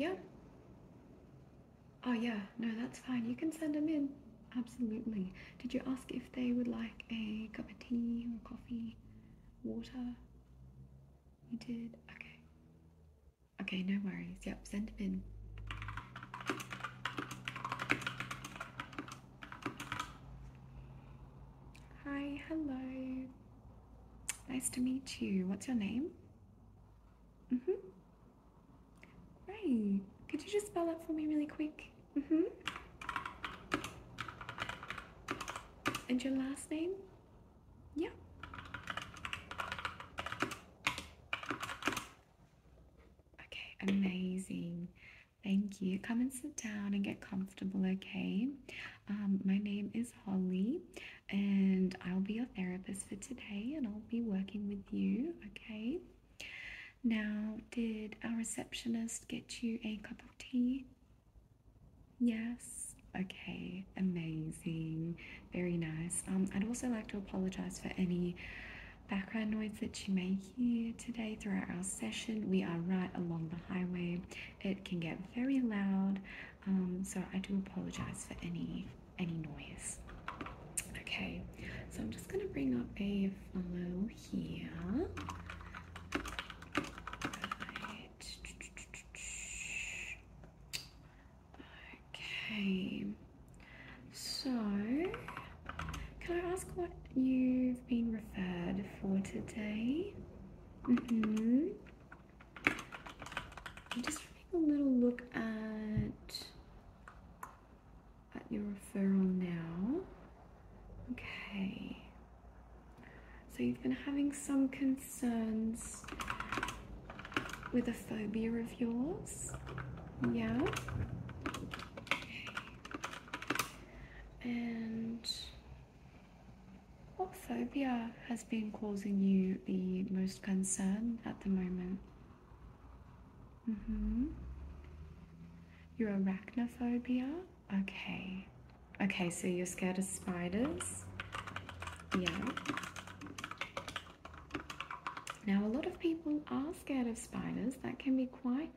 Yeah. Oh yeah, no, that's fine. You can send them in. Absolutely. Did you ask if they would like a cup of tea or coffee? Water? You did? Okay. Okay, no worries. Yep, send them in. Hi, hello. Nice to meet you. What's your name? Mm hmm. Great. Could you just spell that for me really quick? Mm hmm And your last name? Yeah. Okay, amazing. Thank you. Come and sit down and get comfortable, okay? Um, my name is Holly, and I'll be your therapist for today, and I'll be working with you, okay? Now, did our receptionist get you a cup of tea? Yes. Okay, amazing. Very nice. Um, I'd also like to apologize for any background noise that you may hear today throughout our session. We are right along the highway. It can get very loud, um, so I do apologize for any any noise. Okay, so I'm just gonna bring up a file go here. Right. Okay. So, can I ask what you've been referred for today? Mm hmm. I'm just having a little look at at your referral now. Okay. So you've been having some concerns with a phobia of yours. Yeah. And what phobia has been causing you the most concern at the moment? Mm-hmm. Your arachnophobia? Okay. Okay, so you're scared of spiders. Yeah. Now, a lot of people are scared of spiders. That can be quite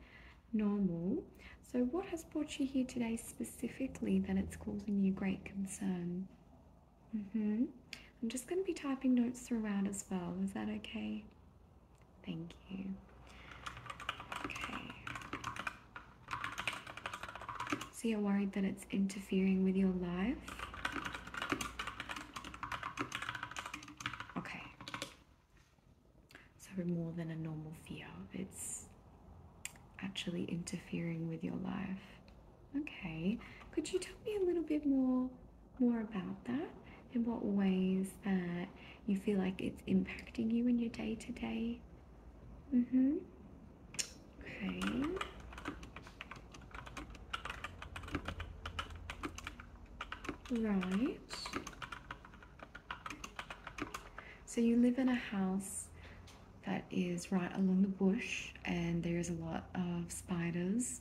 normal. So, what has brought you here today specifically that it's causing you great concern? Mm hmm I'm just going to be typing notes throughout as well. Is that okay? Thank you. Okay. So you're worried that it's interfering with your life? Okay. So more than a normal fear, it's actually interfering with your life. Okay. Could you tell me a little bit more more about that? in what ways that you feel like it's impacting you in your day to day. Mm hmm. Okay. Right. So you live in a house that is right along the bush and there's a lot of spiders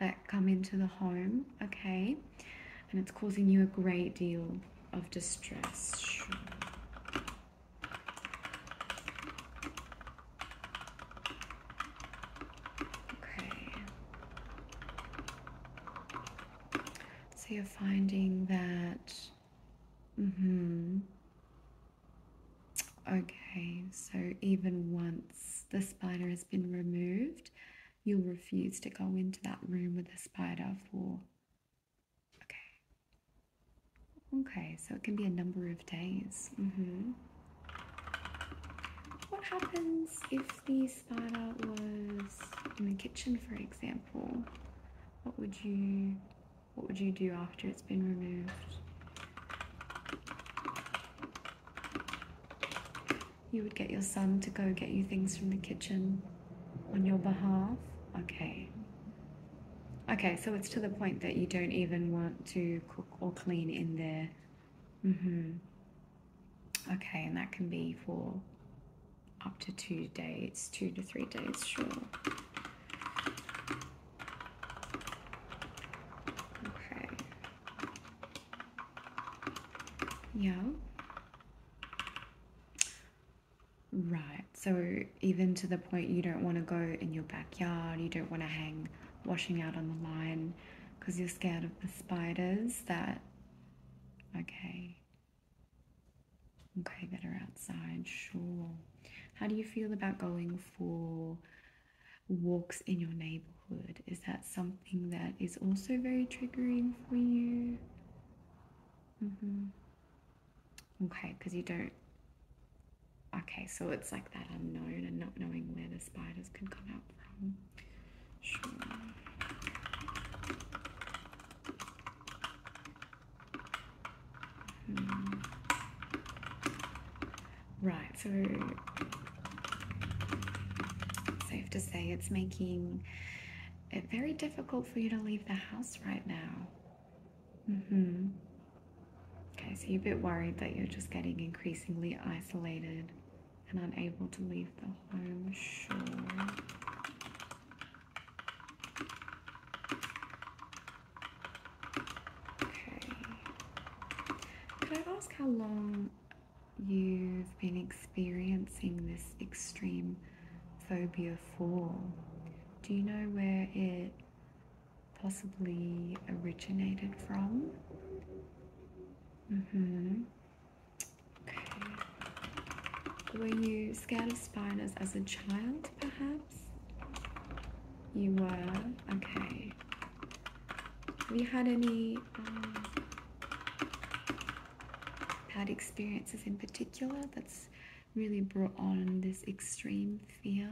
that come into the home. Okay and it's causing you a great deal of distress. Okay. So you're finding that. Mm-hmm. Okay, so even once the spider has been removed, you'll refuse to go into that room with a spider for. Okay. Okay, so it can be a number of days. Mm-hmm. What happens if the spider was in the kitchen, for example? What would you what would you do after it's been removed? You would get your son to go get you things from the kitchen on your behalf? Okay. Okay, so it's to the point that you don't even want to cook or clean in there. Mm-hmm. Okay, and that can be for up to two days, two to three days, sure. Okay. Yeah. Right. So even to the point you don't want to go in your backyard, you don't want to hang washing out on the line because you're scared of the spiders that okay. Okay, that are outside, sure. How do you feel about going for walks in your neighborhood? Is that something that is also very triggering for you? Mm-hmm. Okay, because you don't. Okay, so it's like that unknown and not knowing where the spiders can come out from. Hmm. Right, so safe to say it's making it's very difficult for you to leave the house right now. Mm-hmm. Okay, so you're a bit worried that you're just getting increasingly isolated and unable to leave the home. Sure. Okay. Could I ask how long you've been experiencing this extreme phobia for? Do you know where it possibly originated from? hmm Okay. Were you scared of spiders as a child, perhaps? You were? Okay. Have you had any um, bad experiences in particular that's really brought on this extreme fear.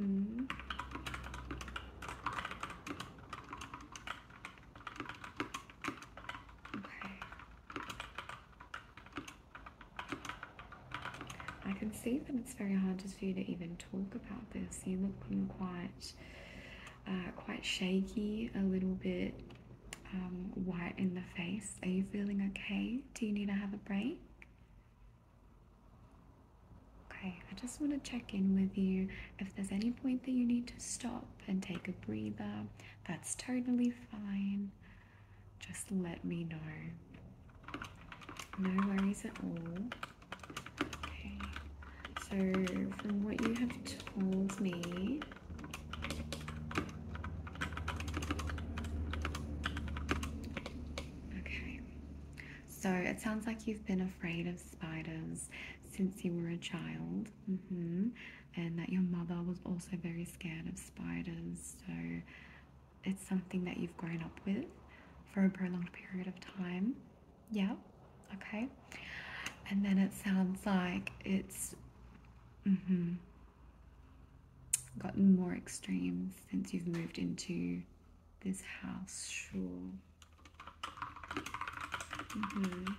Mm-hmm. Okay. I can see that it's very hard just for you to even talk about this. You look quite uh, quite shaky, a little bit um, white in the face. Are you feeling okay? Do you need to have a break? Okay, I just want to check in with you. If there's any point that you need to stop and take a breather, that's totally fine. Just let me know. No worries at all. Okay, so from what you have told me, Okay, so it sounds like you've been afraid of spiders since you were a child, mm-hmm. and that your mother was also very scared of spiders. So it's something that you've grown up with for a prolonged period of time. Yeah okay and then it sounds like it's mm-hmm, gotten more extreme since you've moved into this house sure mm-hmm.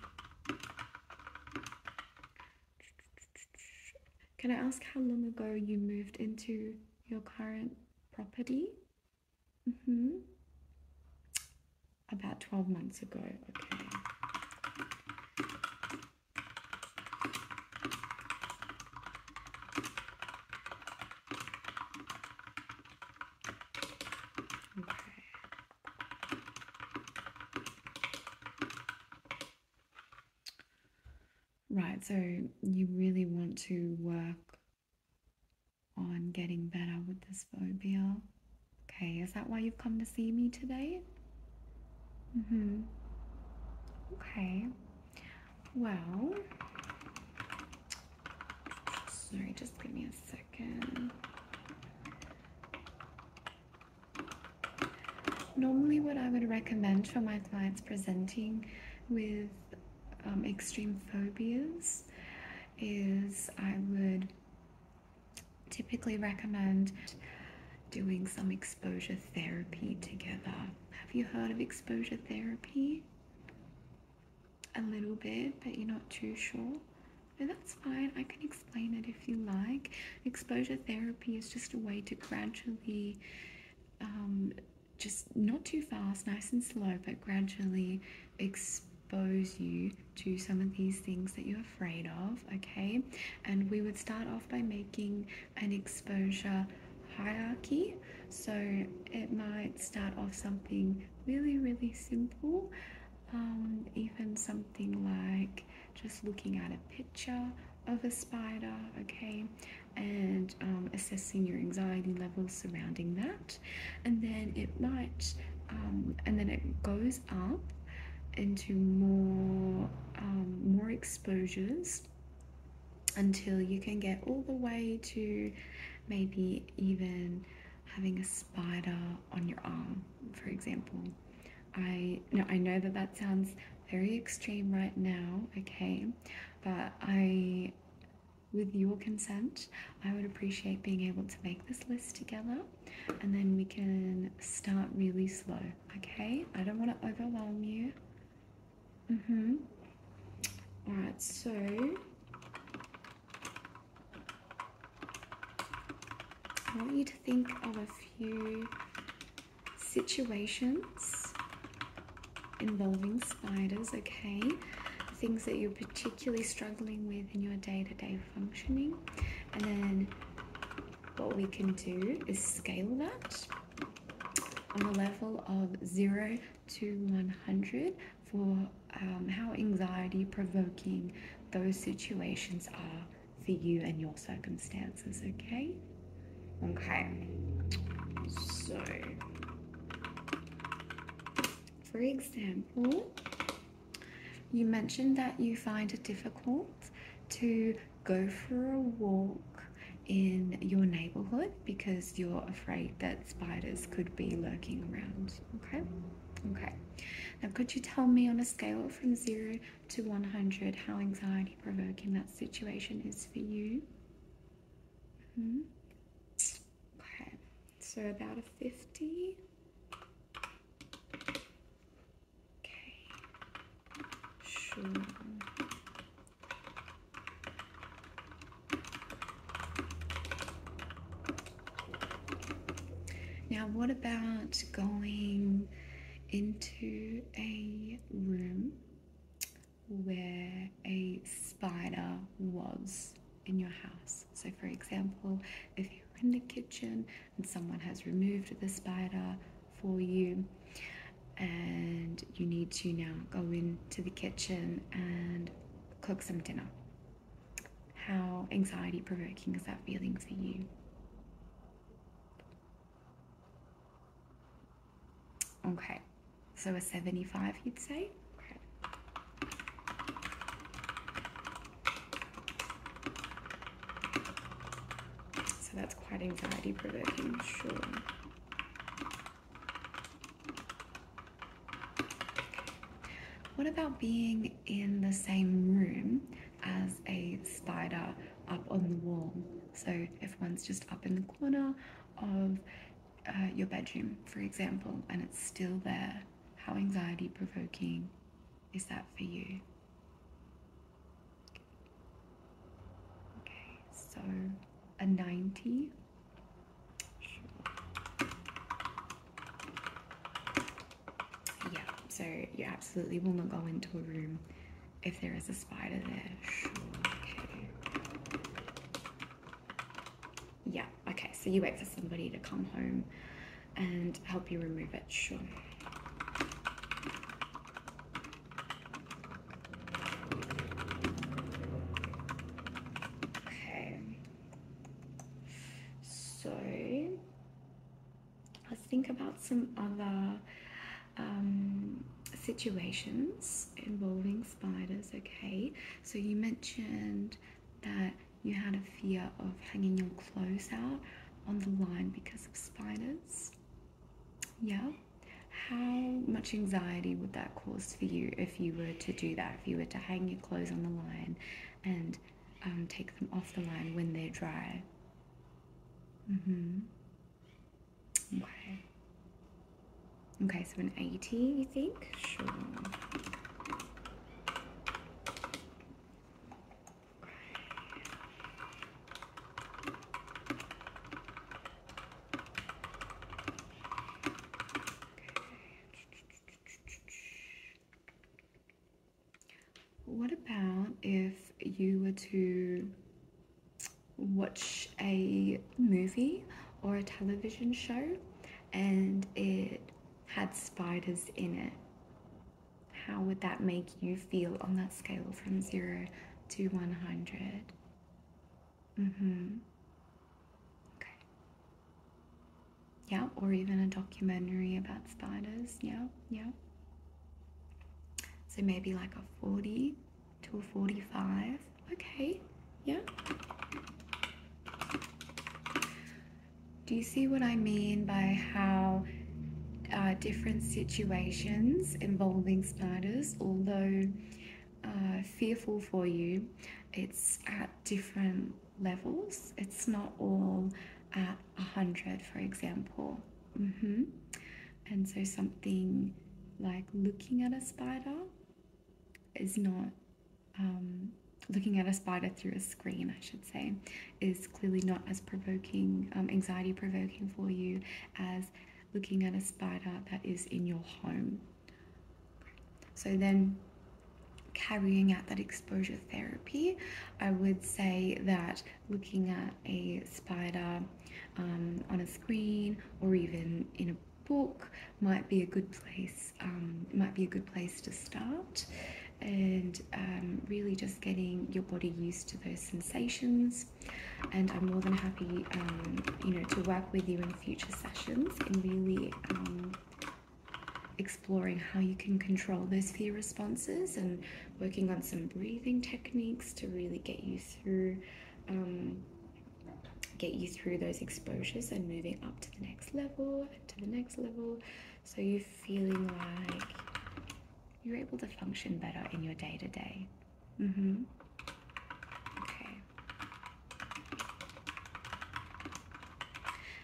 Can I ask how long ago you moved into your current property? Mm hmm about 12 months ago. Okay. Right, so you really want to work on getting better with this phobia. Okay, is that why you've come to see me today? Mm hmm. Okay. Well, sorry, just give me a second. Normally, what I would recommend for my clients presenting with um, extreme phobias is I would typically recommend doing some exposure therapy together. Have you heard of exposure therapy? A little bit, but you're not too sure. No, that's fine. I can explain it if you like. Exposure therapy is just a way to gradually, um, just not too fast, nice and slow, but gradually expose expose you to some of these things that you're afraid of, okay? And we would start off by making an exposure hierarchy. So it might start off something really, really simple, um, even something like just looking at a picture of a spider, okay, and um, assessing your anxiety levels surrounding that. And then it might, um, and then it goes up into more um, more exposures until you can get all the way to maybe even having a spider on your arm for example i i know that that sounds very extreme right now okay but i with your consent i would appreciate being able to make this list together and then we can start really slow. Okay, I don't want to overwhelm you. Mhm. All right, so I want you to think of a few situations involving spiders, okay? Things that you're particularly struggling with in your day to day functioning. And then what we can do is scale that on a level of 0 to 100 for um, how anxiety provoking those situations are for you and your circumstances, okay? Okay, so for example, you mentioned that you find it difficult to go for a walk in your neighborhood because you're afraid that spiders could be lurking around. Okay? Okay. Now, could you tell me on a scale from 0 to 100 how anxiety provoking that situation is for you? -hmm. Okay, so about a 50. Okay. Sure. Now, what about going into a room where a spider was in your house? So, for example, if you were in the kitchen and someone has removed the spider for you and you need to now go into the kitchen and cook some dinner. How anxiety provoking is that feeling for you? Okay, so a 75 you'd say? So that's quite anxiety provoking, sure. What about being in the same room as a spider up on the wall? So if one's just up in the corner of uh, your bedroom, for example, and it's still there, how anxiety provoking is that for you? Okay, so a 90. Yeah, so you absolutely will not go into a room if there is a spider there. Yeah, okay, so you wait for somebody to come home and help you remove it. Sure. Okay. So let's think about some other um, situations involving spiders. Okay. So you mentioned that you had a fear of hanging your clothes out on the line because of spiders. Yeah. How much anxiety would that cause for you if you were to do that? If you were to hang your clothes on the line and um, take them off the line when they're dry? Mm-hmm. Okay. Okay, so an 80, you think? Sure. What about if you were to watch a movie or a television show and it had spiders in it? how would that make you feel on that scale from 0 to 100? Mm-hmm. Okay. Yeah, or even a documentary about spiders. Yeah, yeah. So maybe like a 40 to a 45. Okay, yeah. Do you see what I mean by how uh, different situations involving spiders, although uh, fearful for you, it's at different levels. It's not all at 100, for example. Mm-hmm. And so something like looking at a spider is not um, looking at a spider through a screen, I should say, is clearly not as provoking, um, anxiety provoking for you as looking at a spider that is in your home. So then carrying out that exposure therapy, I would say that looking at a spider um, on a screen or even in a book might be a good place. Um, might be a good place to start and um, really just getting your body used to those sensations and i'm more than happy um, you know to work with you in future sessions and really um, exploring how you can control those fear responses and working on some breathing techniques to really get you through get you through those exposures and moving up to the next level to the next level so you're feeling like you're able to function better in your day to day. Okay.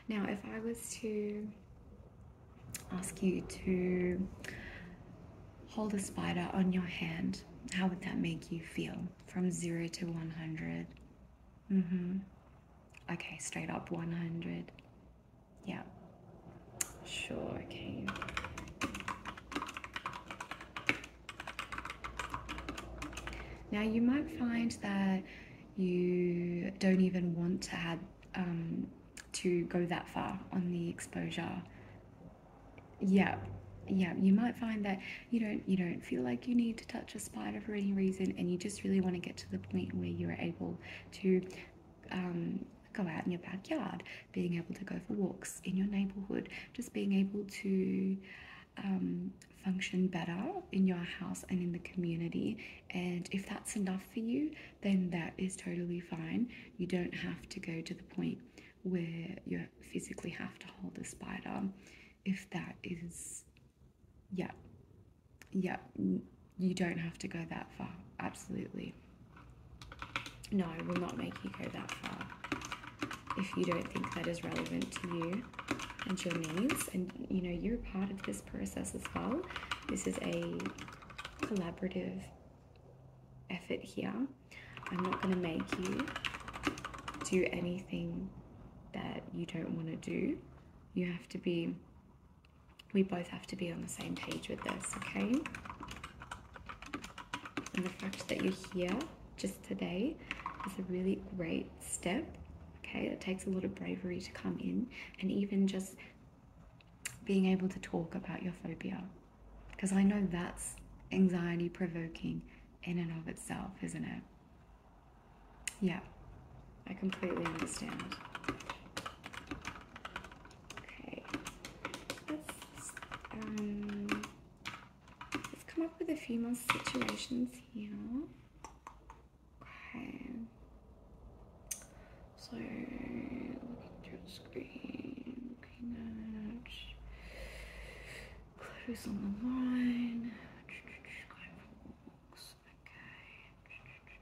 Now, if I was to ask you to hold a spider on your hand, how would that make you feel? From zero to 100? Mm hmm. Okay, straight up 100. Yeah. Sure, okay. Now you might find that you don't even want to have um, to go that far on the exposure. Yeah, yeah. You might find that you don't you don't feel like you need to touch a spider for any reason, and you just really want to get to the point where you're able to um, go out in your backyard, being able to go for walks in your neighborhood, just being able to um, function better in your house and in the community. And if that's enough for you, then that is totally fine. You don't have to go to the point where you physically have to hold a spider if that is, yeah, yeah, you don't have to go that far. Absolutely. No, we will not make you go that far if you don't think that is relevant to you and your needs. And you know, you're part of this process as well. This is a collaborative effort here. I'm not going to make you do anything that you don't want to do. You have to be we both have to be on the same page with this, okay? And the fact that you're here just today is a really great step, okay? It takes a lot of bravery to come in and even just being able to talk about your phobia because I know that's anxiety provoking in and of itself, isn't it? Yeah, I completely understand. Okay, let's, um, let's come up with a few more situations here. Okay, so looking through the screen, looking at clothes on the line, going for walks,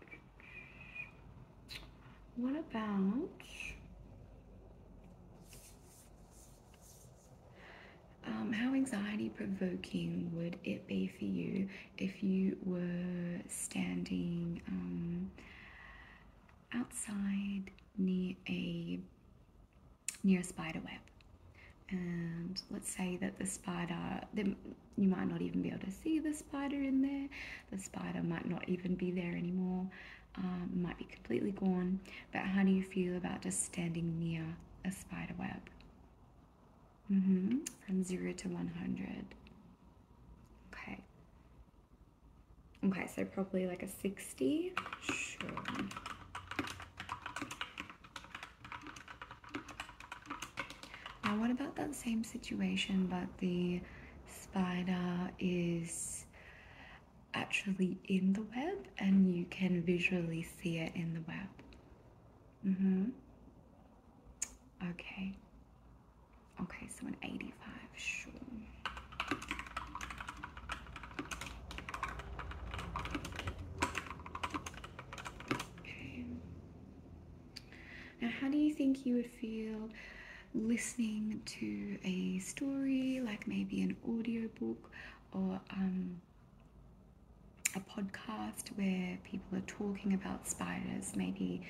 Okay. What about um, how anxiety provoking would it be for you if you were standing um, outside near a near a spider web? And let's say that the spider, the, you might not even be able to see the spider in there. The spider might not even be there anymore, um, might be completely gone. But how do you feel about just standing near a spider web? Mm-hmm. From zero to 100. Okay. Okay, so probably like a 60. Now, what about that same situation, but the spider is actually in the web and you can visually see it in the web? Mm hmm. Okay. Okay, so an 85, sure. Okay. Now, how do you think you would feel listening to a story, like maybe an audiobook or um, a podcast where people are talking about spiders, maybe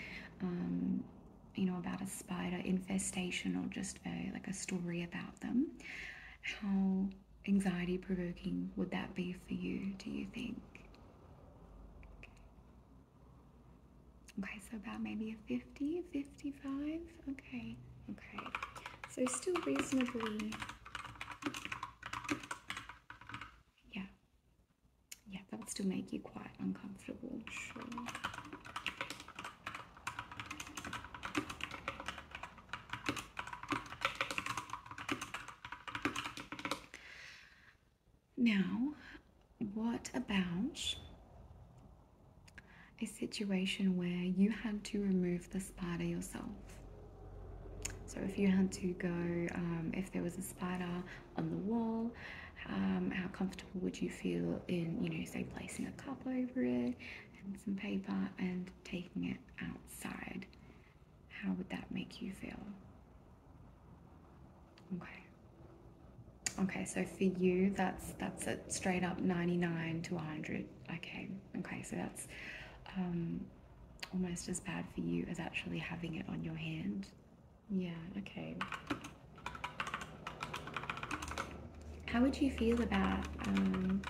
um, you know about a spider infestation or just a, like a story about them? How anxiety provoking would that be for you, do you think? Okay, so about maybe a 50, 55. Okay, okay. So still reasonably. Yeah. Yeah, that would still make you quite uncomfortable, sure. Now, what about a situation where you had to remove the spider yourself? So, if you had to go, um, if there was a spider on the wall, um, how comfortable would you feel in, you know, say placing a cup over it and some paper and taking it outside? How would that make you feel? Okay. Okay, so for you, that's that's a straight up 99 to 100. Okay, okay, so that's um, almost as bad for you as actually having it on your hand. Yeah, okay. How would you feel about um,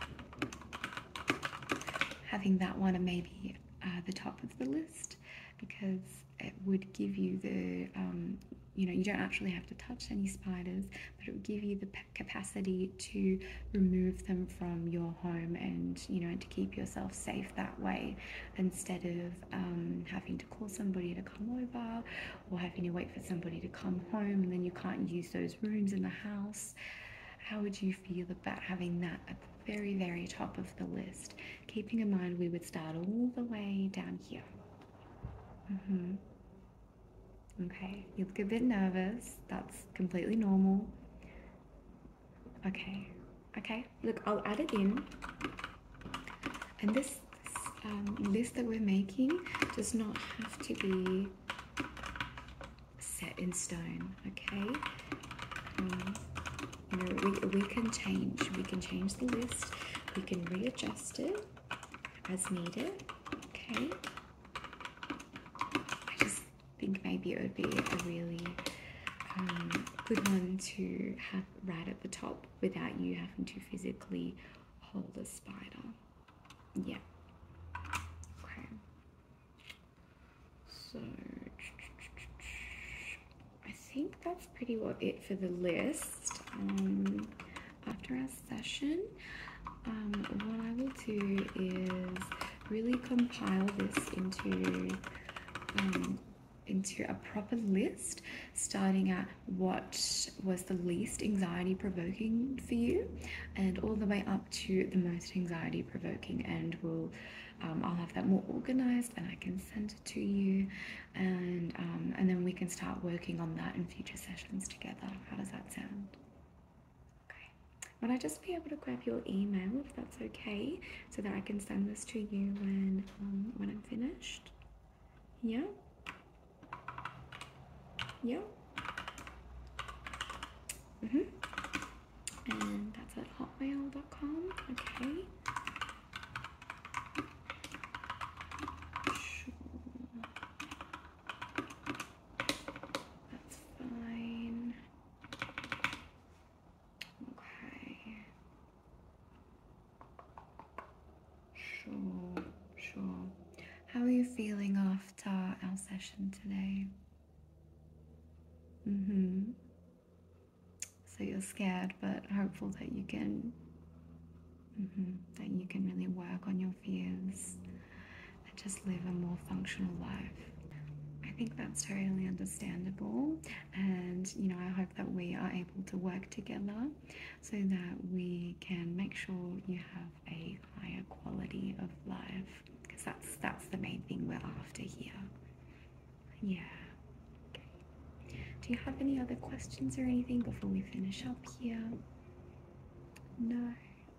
having that one and maybe uh, the top of the list? Because it would give you the um, you know you don't actually have to touch any spiders but it would give you the capacity to remove them from your home and you know to keep yourself safe that way instead of um, having to call somebody to come over or having to wait for somebody to come home and then you can't use those rooms in the house how would you feel about having that at the very very top of the list keeping in mind we would start all the way down here. Mm-hmm. Okay, you look a bit nervous. That's completely normal. Okay, okay. Look, I'll add it in. And this, um, this list that we're making does not have to be set in stone. Okay. Um, you know we, we can change we can change the list we can readjust it as needed okay i just think maybe it would be a really um, good one to have right at the top without you having to physically hold a spider yeah okay so I think that's pretty well it for the list. Um, after our session, um, what I will do is really compile this into um, into a proper list, starting at what was the least anxiety provoking for you, and all the way up to the most anxiety provoking, and will I'll have that more organized, and I can send it to you and um, and then we can start working on that in future sessions together how does that sound okay would i just be able to grab your email if that's okay so that i can send this to you when um, when i'm finished yeah yeah mm-hmm and that's at hotmail.com okay that's fine. Okay. Sure, sure. How are you feeling after our session today? Mm-hmm. So you're scared, but hopeful that you can mm-hmm, that you can really work on your fears and just live a more functional life. I think that's totally understandable, and you know I hope that we are able to work together so that we can make sure you have a higher quality of life because that's that's the main thing we're after here. Yeah. Okay. Do you have any other questions or anything before we finish up here? No?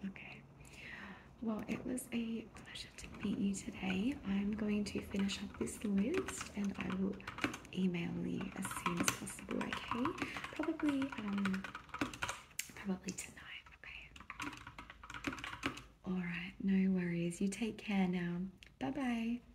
Okay. Well, it was a pleasure to meet you today. I'm going to finish up this list and I will email you as soon as possible, okay? Probably, um, probably tonight, okay? Alright, no worries. You take care now. Bye bye.